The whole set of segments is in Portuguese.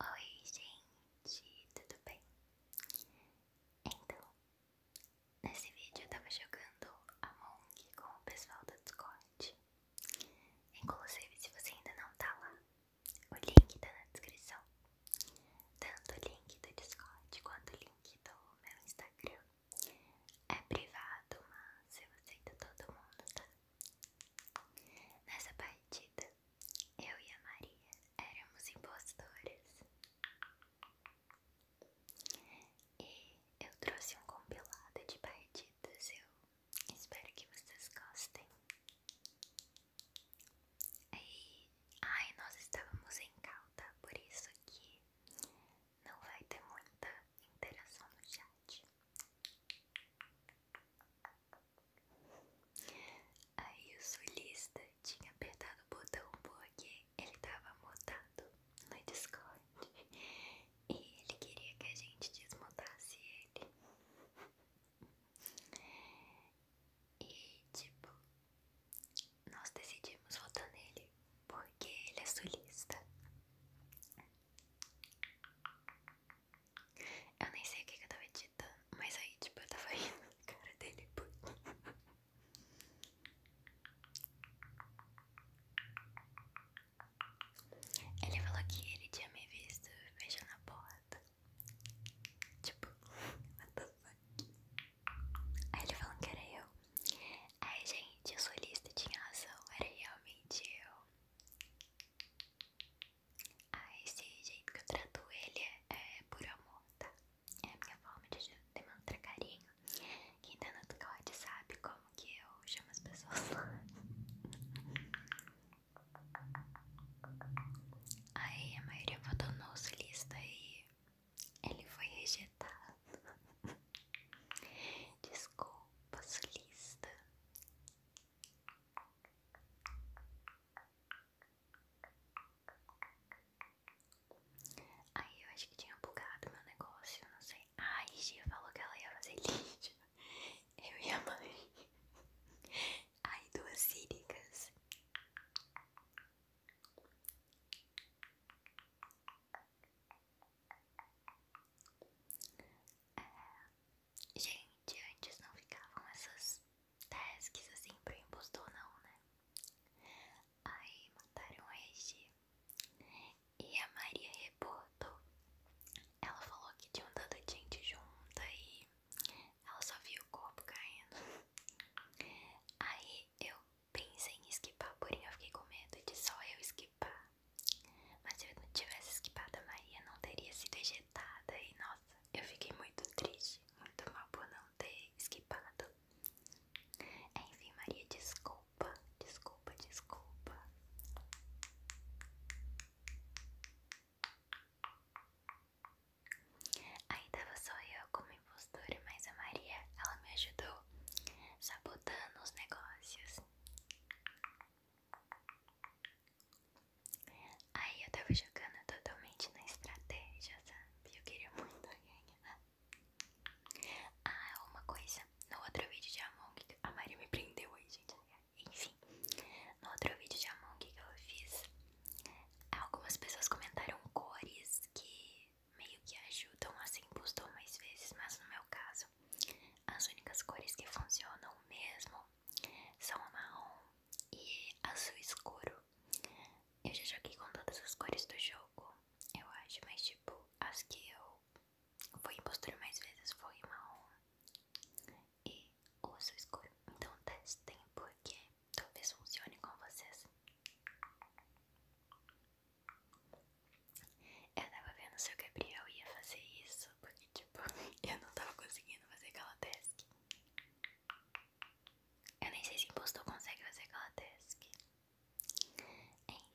Oi, gente, tudo bem? Então, nesse vídeo eu tava jogando Among com o pessoal do Discord. Inclusive, se você ainda não tá lá, o link tá na descrição. Tanto o link do Discord quanto o link do meu Instagram. É privado, mas eu aceito todo mundo, tá? Nessa partida, eu e a Maria éramos impostoras. E eu trouxe um compilado de partidas, eu espero que vocês gostem. E, ai, nós estávamos em cauda, por isso que não vai ter muita interação no chat. Aí o sulista tinha apertado o botão porque ele tava mutado no Discord e ele queria que a gente desmontasse ele. E tipo, nós decidimos votar nele porque ele é sulista. Eu nem sei o que, eu tava editando, mas aí, tipo, eu tava rindo na cara dele. Ele falou que ele tinha me visto fechando a porta. Tipo, what the fuck? Aí ele falou que era eu. Ai, gente, eu a solista tinha razão, era realmente eu. Ah, esse jeito que eu trato ele é, é por amor, tá? É a minha forma de demonstrar carinho. Quem tá no Discord sabe como que eu chamo as pessoas Aí a maioria votou no solista e ele foi rejeitado. Desculpa, solista. Aí eu acho que tinha bugado meu negócio, não sei. Ai, Gia falou que ela ia fazer lixo. Eu e a mãe. Ai, duas círicas. É, gente, antes não ficavam essas tasks assim pro impostor não, né? Aí mataram a Regi e a Maria reportou. Ela falou que tinham um tanto de gente junta e ela só viu o corpo caindo. Aí eu pensei em esquipar, porém eu fiquei com medo de só eu esquipar. Mas se eu não tivesse esquipado a Maria, não teria sido ejetada. E nossa, eu fiquei muito triste, muito mal por não ter esquipado. Enfim, Maria, desculpa, desculpa, desculpa. Ainda tava só eu como impostora, mas a Maria, ela me ajudou sabotando os negócios. Aí eu tava jogando totalmente na estratégia, sabe? Eu queria muito ganhar. Ah, uma coisa. No outro vídeo de Among a Maria me prendeu aí, gente. Enfim, no outro vídeo de Among que eu fiz, algumas pessoas comentaram cores que meio que ajudam assim, postou mais vezes, mas no meu caso as únicas cores que funcionam mesmo são o marrom e azul escuro. Eu já joguei com todas as cores do jogo, eu acho, mas tipo, as que eu fui impostor mais vezes foi o marrom e o azul escuro. Então testem porque talvez funcione com vocês. Eu tava vendo se o Gabriel ia fazer isso, porque tipo, eu não tava conseguindo fazer aquela task. Eu nem sei se impostor consegue fazer aquela task.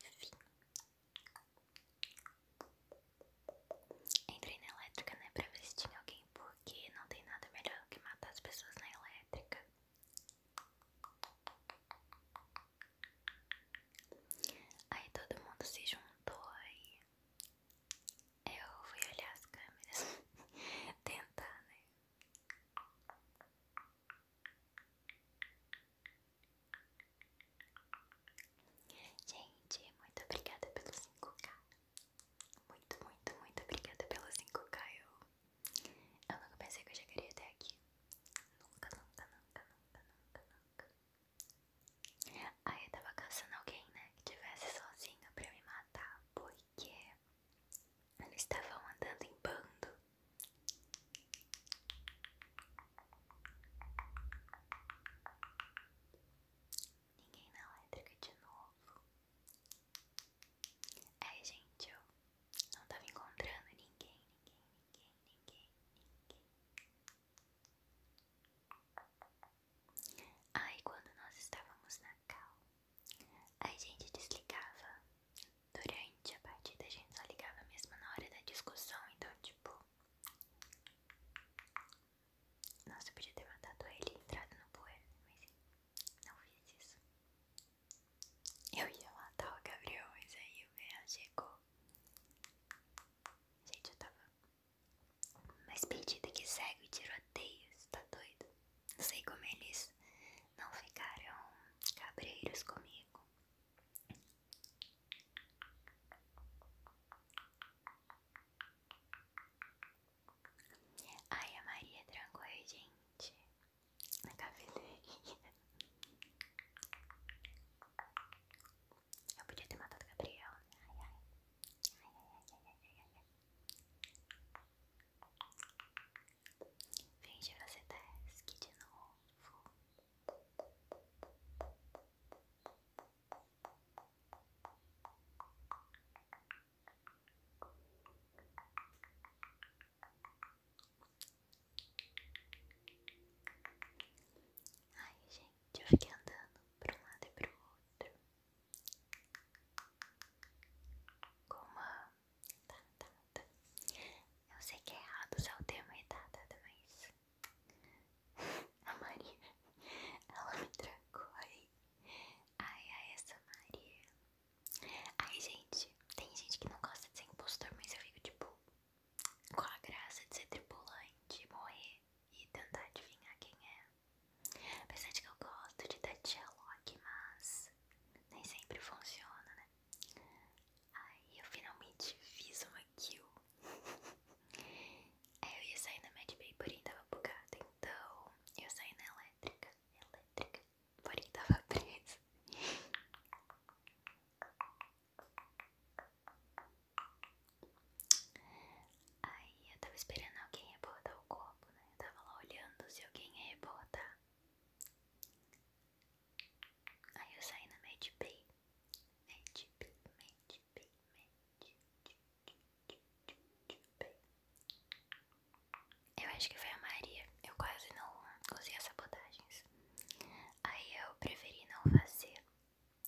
Enfim. Entrei na elétrica, né, pra ver se tinha alguém, porque não tem nada melhor do que matar as pessoas na elétrica. Aí todo mundo se juntou aí. Eu fui olhar as câmeras, tentar, né? Gente, muito obrigada pelo 5K. Muito, muito, muito obrigada pelo 5K. Eu, eu nunca pensei que eu chegaria até aqui. nunca, nunca, nunca, nunca, nunca. Aí eu tava cansando alguém, né? Que tivesse sozinha pra me matar, porque eles estavam andando em bando. Ninguém na elétrica de novo. é gente, eu não tava encontrando ninguém, ninguém, ninguém ninguém, ninguém. Aí quando nós estávamos na cal, a gente desligava. Durante a partida a gente só ligava mesmo na hora da discussão, então tipo. Nossa, eu podia ter mandado ele entrar no poeira, mas não fiz isso. Eu ia matar o Gabriel, mas aí o Real chegou Gente, eu tava mais perdida que cego e tiroteios, tá doido? Não sei como eles não ficaram cabreiros comigo. Ai, a Maria trancou aí gente na cafeteria. Eu podia ter matado Gabriel. Ai, ai. você task de novo. Ai, gente, eu fiquei andando para um lado e para o outro com uma batata. Tá, tá, tá. Eu sei que é errado usar o é batata, mas a Maria, ela me trancou aí. Ai, ai, essa Maria. Ai, gente, tem gente que não gosta de ser impostor, mas eu digo tipo com a graça de ser tripulante, morrer e tentar adivinhar quem é. Apesar de que eu gosto de Tati Alok, mas nem sempre funciona, né? Aí eu finalmente fiz uma kill. Aí é, eu ia sair na Mad Bay, porém tava bugada, então eu saí na elétrica. Elétrica, porém tava presa. Aí eu tava esperando alguém rebotar o copo, né? Eu tava lá olhando se alguém ia rebotar. Aí eu saí na Mad Bay. Mad Bay, Mad Bay, Mad Eu acho que foi a Maria. Eu quase não usei as sabotagens. Aí eu preferi não fazer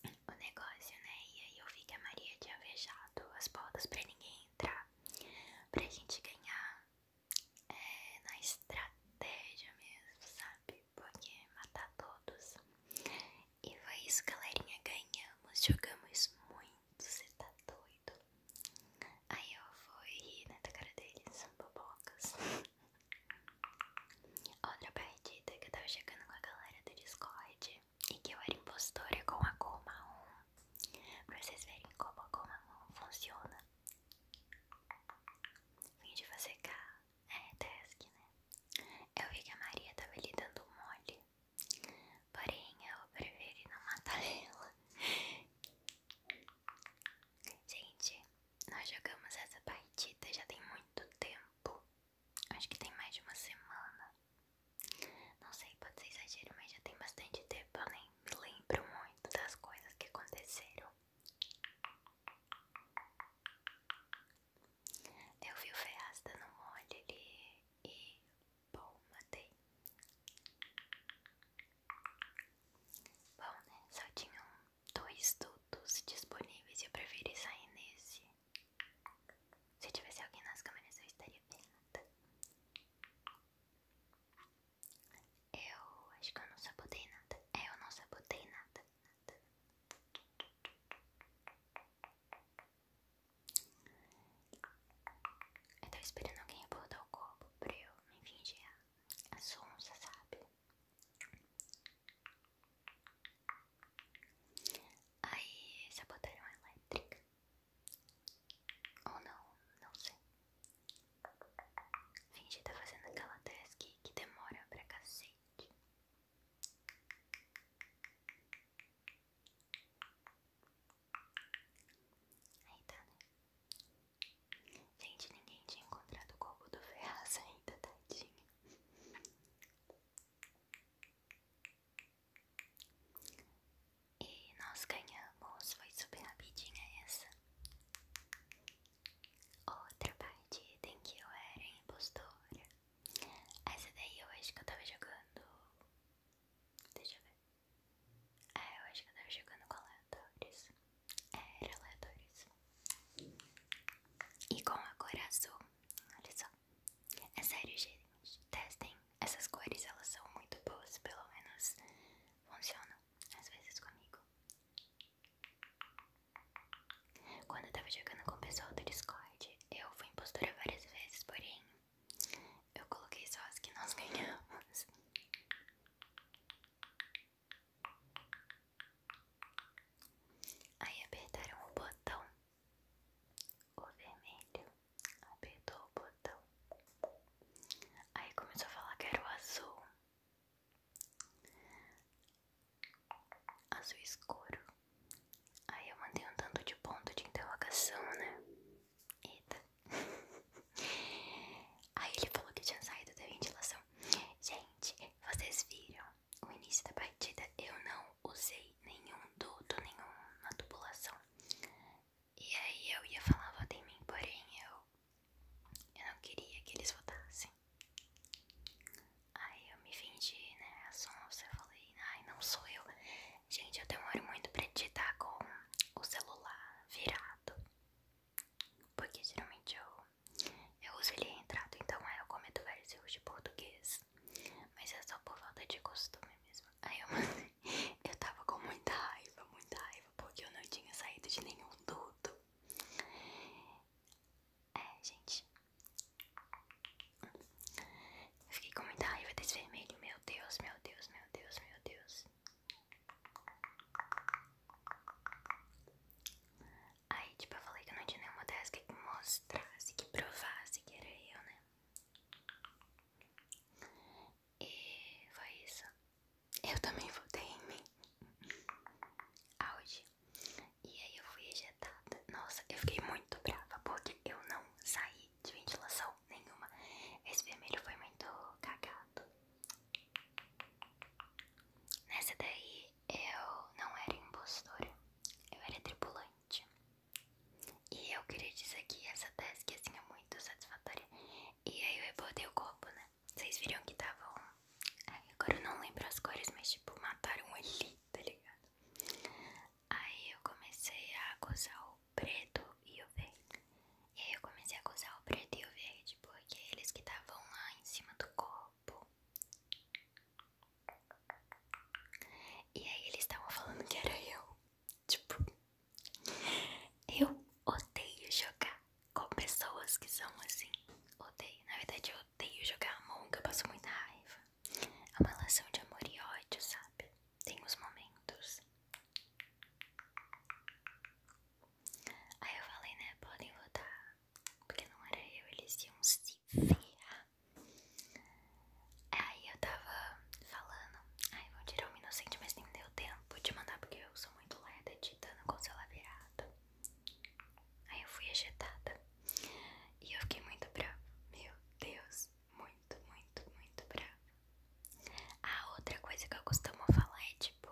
o negócio, né? E aí eu vi que a Maria tinha fechado as portas pra ninguém entrar, pra gente ganhar é, na estratégia mesmo, sabe? Porque matar todos. E foi isso, galerinha. Ganhamos, jogamos muito, você tá doido. Aí eu fui rir na né, cara deles, bobocas. Outra partida tá? que eu tava chegando com a galera do Discord e que eu era impostora com a Goma 1 pra vocês verem como a Goma 1 funciona. Vim de fazer K, é task, né? Eu vi que a Maria tava lhe dando mole, porém eu preferi não matar ela. Gente, nós jogamos essa partida já tem muito tempo. Acho que tem mais de uma semana. Não sei, pode ser exagero, mas já tem bastante tempo. Eu nem me lembro muito das coisas que aconteceram. Eu vi o Ferraz no um mole e. Bom, matei. Bom, né? Só tinha um dois dutos disponíveis e eu preferi sair nesse. Se tivesse alguém nas câmeras, eu estaria pelada. Eu acho que eu não sabotei nada. É, eu não sabotei nada. nada. Eu tô esperando alguém botar o copo pra eu me fingir a sonsa, sabe? Aí se a elétrica. Ou não, não sei. Finge tá fazendo aquela task que demora pra cacete. Aí tá, né? Gente, ninguém tinha encontrado o corpo do Ferraz ainda, tadinho. E nós ganhamos, foi super rapidinha essa. Outra parte em que eu era impostora. Essa daí eu acho que eu tava jogando. Deixa eu ver. É, eu acho que eu tava jogando com aleatórios é Era isso E com a cor azul, olha só. É sério, gente. Testem. Essas cores, elas são muito boas, pelo menos funcionam às vezes comigo. Quando eu tava jogando com o pessoal do Discord, eu fui impostora várias vezes, porém eu coloquei só as que nós ganhamos. Aí apertaram o botão. O vermelho apertou o botão. Aí começou a falar que era o azul. Azul escuro. Aí eu mandei um tanto de ponto de interrogação, né? Eita. Aí ele falou que tinha saído da ventilação. Gente, vocês viram o início da partida? Eu não usei nenhum duto, nenhuma tubulação. E aí eu ia falar vota em mim, porém eu, eu não queria que eles votassem. Aí eu me fingi, né, a sonsa, eu falei, ai, não sou eu. Gente, eu demoro muito pra digitar com o celular virado. Porque geralmente eu, eu uso ele entrado, então aí eu cometo vários erros de português. Mas é só por falta de costume mesmo. Aí eu, eu tava com muita raiva, muita raiva, porque eu não tinha saído de nenhum duto. É, gente. Eu fiquei com muita raiva desse vermelho. Meu Deus, meu Deus, meu Deus, meu Deus. Aí, tipo, eu falei que eu não tinha nenhuma tarefa que mostrasse, que provasse que era eu, né? E foi isso. Eu também votei em mim. Auge. E aí eu fui ejetada. Nossa, eu fiquei muito brava porque eu não saí de ventilação nenhuma. Esse vermelho foi muito cagado. Nessa daí eu não era impostora, eu era tripulante. E eu queria dizer que essa task assim é muito satisfatória. E aí eu rebotei o copo, né? Vocês viram que estavam. Agora eu não lembro as cores, mas tipo, mataram ele tá ligado? Aí eu comecei a gozar o preto e o verde. E aí eu comecei a coçar o preto e o verde porque eles que estavam lá em cima do copo. E aí eles estavam falando que era eu. Tipo, eu odeio jogar com pessoas que são assim. Odeio. Na verdade, eu odeio jogar Among, eu passo muita raiva. É uma relação de amor e ódio, sabe? Tem os momentos Aí eu falei, né? Podem votar. Porque não era eu, eles iam se ferrar. Aí eu tava falando. Ai, vou tirar o inocente, mas nem deu tempo de mandar porque eu sou muito lerda editando com o celular virado. Aí eu fui agitada. E eu fiquei muito brava. Meu Deus, muito, muito, muito brava. A outra coisa que eu costumo falar é tipo: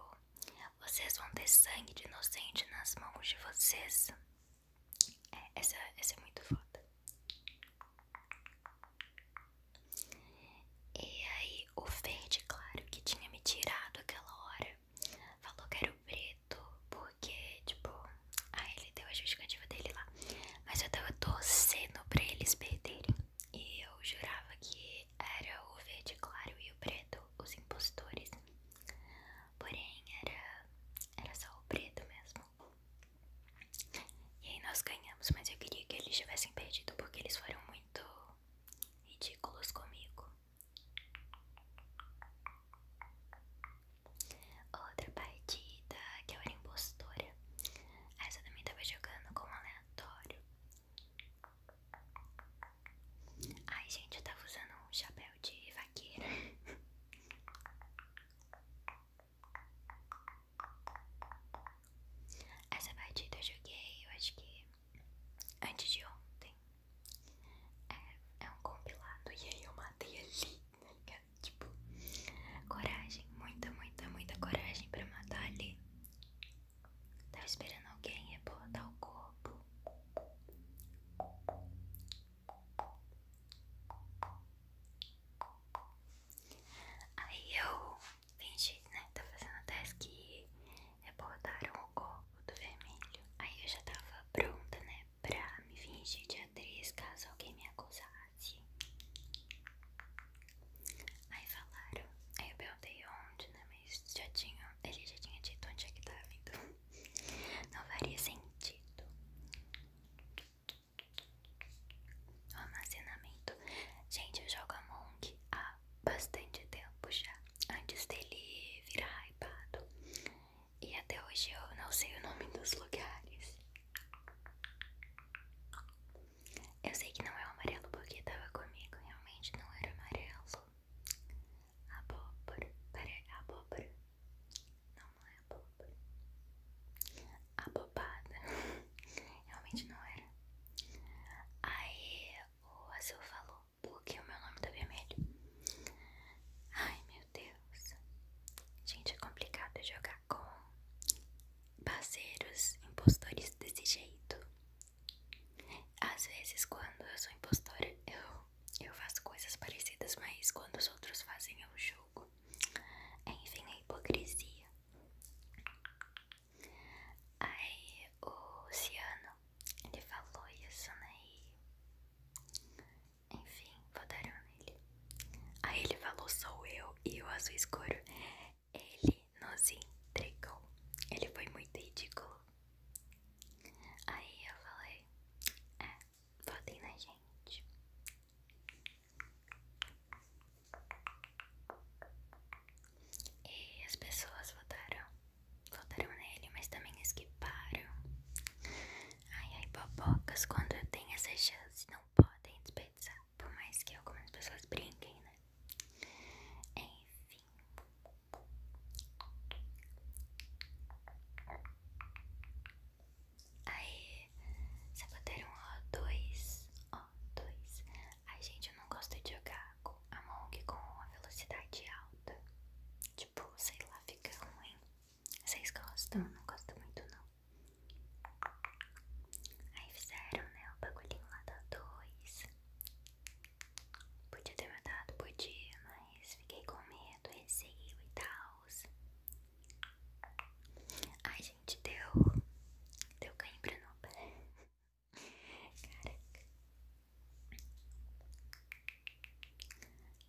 vocês vão ter sangue de inocente nas mãos de vocês. É, essa, essa é muito foda. E aí, o verde, claro, que tinha me tirado aquela hora, falou que era o preto, porque, tipo, aí ele deu a justificativa dele lá. Mas eu tava torcendo pra eles perderem. E eu jurava que era o verde claro e o preto, os impostores. Porém, era, era só o preto mesmo. E aí nós ganhamos, mas eu queria que eles tivessem perdido porque eles foram muito ridículos comigo. Outra partida que eu era impostora. Essa também tava jogando como aleatório. Ai, gente, eu tava usando um chapéu de vaqueira. Essa partida eu joguei, eu acho que antes de ontem. É, é um compilado. E aí eu matei ali, tá né, ligado? É, tipo, coragem, muita, muita, muita coragem pra matar ali. Tava tá esperando alguém reportar o corpo. Aí eu fingi, né? Tava fazendo até que reportaram o corpo do vermelho. Aí eu já tava pronta, né? Pra me fingir de atriz caso alguém me acusasse. Aí falaram, aí eu perguntei onde, né? Mas já tinha, ele já tinha dito onde é que tava, então não faria sentido. O armazenamento. Gente, eu jogo a Among há bastante tempo já. Antes dele virar hypado. E até hoje eu não sei o nome dos lugares. Eu sei que não é o amarelo porque tava comigo, realmente não era amarelo. Abóbora, peraí, abóbora. Não, não é abóbora. Abobada. realmente não era. Aí o Azul falou, porque o meu nome tá vermelho. Ai, meu Deus. Gente, é complicado jogar com passeiros impostores desse jeito. Às vezes, quando eu sou impostora, eu, eu faço coisas parecidas, mas quando os outros fazem, eu jogo Enfim, a é hipocrisia. Aí, o Luciano, ele falou isso, né? vou dar um nele. Aí ele falou, sou eu e eu azul escuro ele nos entregou. Ele foi muito ridículo. Aí eu falei: É, votem na gente. E as pessoas votaram. Votaram nele, mas também esquiparam. Ai, ai, babocas, quando eu tenho essa chance, não podem desperdiçar. Por mais que algumas pessoas brinquem, né? Enfim. Aí, saboteiro O2. O2. Ai, gente, eu não gosto de jogar com a Monk com a velocidade alta. Tipo, sei lá, fica ruim. Vocês gostam? Eu não gosto muito, não. Aí fizeram, né, o bagulho lá da 2. Podia ter mandado, podia, mas fiquei com medo, receio e tal. Ai, gente, deu. Deu cãibra no pé. Caraca.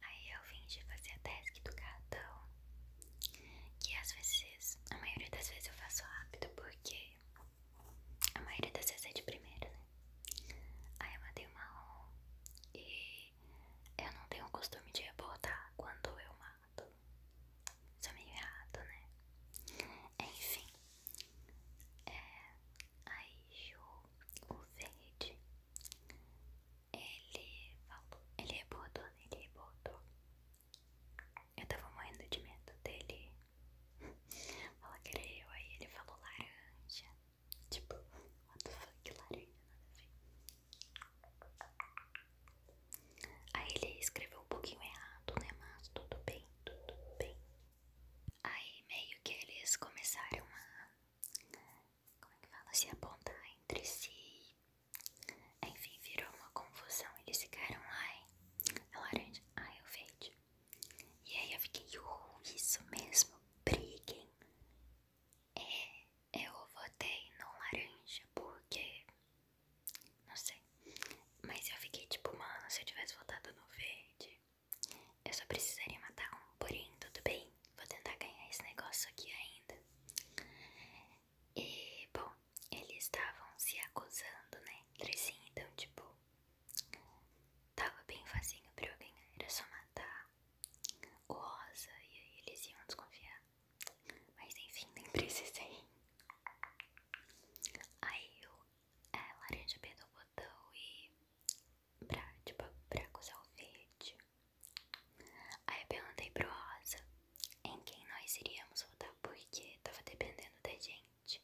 Aí eu fingi fazer a task do cartão. Que às vezes, a maioria das vezes eu faço rápido por porque a maioria das vezes é de primeira, né? Aí eu matei o marrom e eu não tenho o costume de reportar quando eu mato. Isso é meio errado, né? Enfim. É, aí o, o verde, ele falou, ele reportou, né? ele reportou. Eu tava morrendo de medo dele ela queria é eu, aí ele falou laranja. Tipo, what the fuck, laranja, nada a ver. Aí ele escreveu um pouquinho errado, né? Mas tudo bem, tudo bem. Aí meio que eles começaram a. Como é Se apontar entre si enfim, virou uma confusão. Eles ficaram, ai, a é laranja, ai, é o verde. E aí eu fiquei, uh, isso mesmo, briguem. eu é, votei no laranja porque. Não sei. Mas eu fiquei tipo, mano, se eu tivesse votado no verde, eu só precisaria matar um. Porém, tudo bem, vou tentar ganhar esse negócio aqui ainda. E, bom, eles estavam se acusando, né? Entre si, então, tipo, tava bem facinho pra eu ganhar. Era só matar o Rosa e aí eles iam desconfiar. Mas, enfim, nem precisei. Aí o é, laranja apertou o botão e. Pra, tipo, pra acusar o verde. Aí eu perguntei pro Rosa em quem nós iríamos votar porque tava dependendo da gente.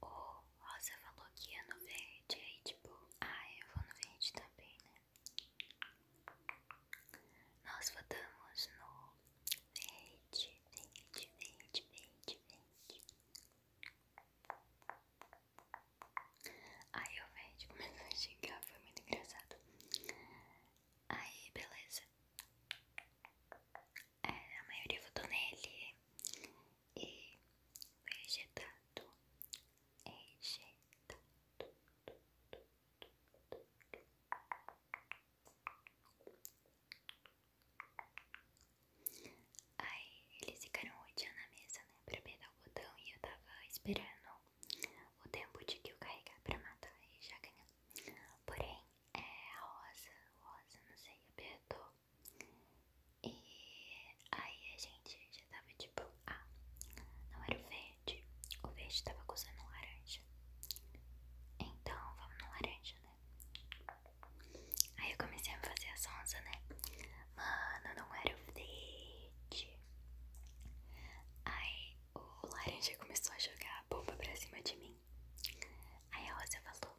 O Rosa falou que ia no verde, aí tipo, ah, eu vou no verde também, né? Nós votamos no verde, verde, verde, verde, verde. Aí eu vejo o Fred começou a xingar, foi muito engraçado. Aí, beleza. É, a maioria votou nele e vegetado vegetado Rejeitado. Aí eles ficaram rodeando a mesa, né? Pra pegar o botão e eu tava esperando o tempo de que eu carregar pra matar e já ganhar. Porém, é, Rosa, Rosa, não sei, apertou. E aí a gente já tava tipo, ah, não era o verde. O verde tava um laranja. Então vamos no laranja, né? Aí eu comecei a fazer a sonsa, né? Mano, não era o verde Aí o laranja começou a jogar a bomba pra cima de mim. Aí a Rosa falou: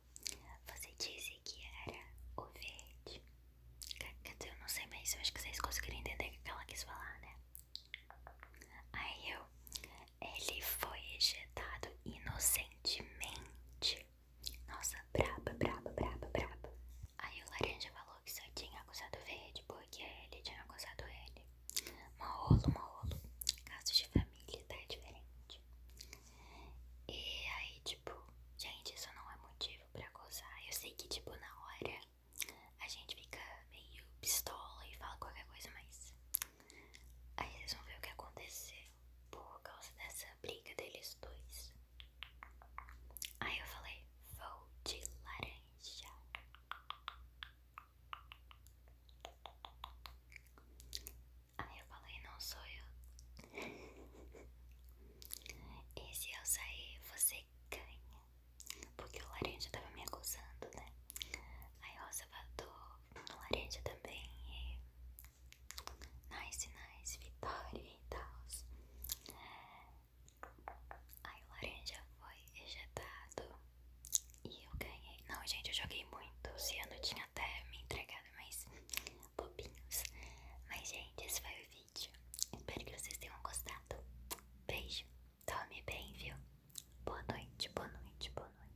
Você disse que era o verde. Quer eu não sei, mas eu acho que vocês conseguiram entender o que ela quis falar, né? Aí eu. Ele foi ejetado inocentemente. Nossa, braba, braba, braba, braba. Aí o laranja falou que só tinha acusado verde porque ele tinha acusado ele. Maolo, maolo. Casos de família, tá diferente. E aí, tipo, gente, isso não é motivo pra acusar. Eu sei que, tipo, na hora a gente fica meio pistola e fala qualquer coisa, mas aí vocês vão ver o que aconteceu por causa dessa briga deles dois. Aí eu falei, vou de laranja. Aí eu falei, não sou eu. E se eu sair, você ganha. Porque o laranja tava me acusando, né? Aí o rosa bateu no laranja também. E Nice, nice, vitória e tal. Aí o laranja foi ejetado e eu ganhei. Não, gente, eu joguei muito. Se eu não tinha até me entregado mas bobinhos. Mas, gente, esse foi o vídeo. Espero que vocês tenham gostado. Beijo. Tome bem, viu? Boa noite, boa noite, boa noite.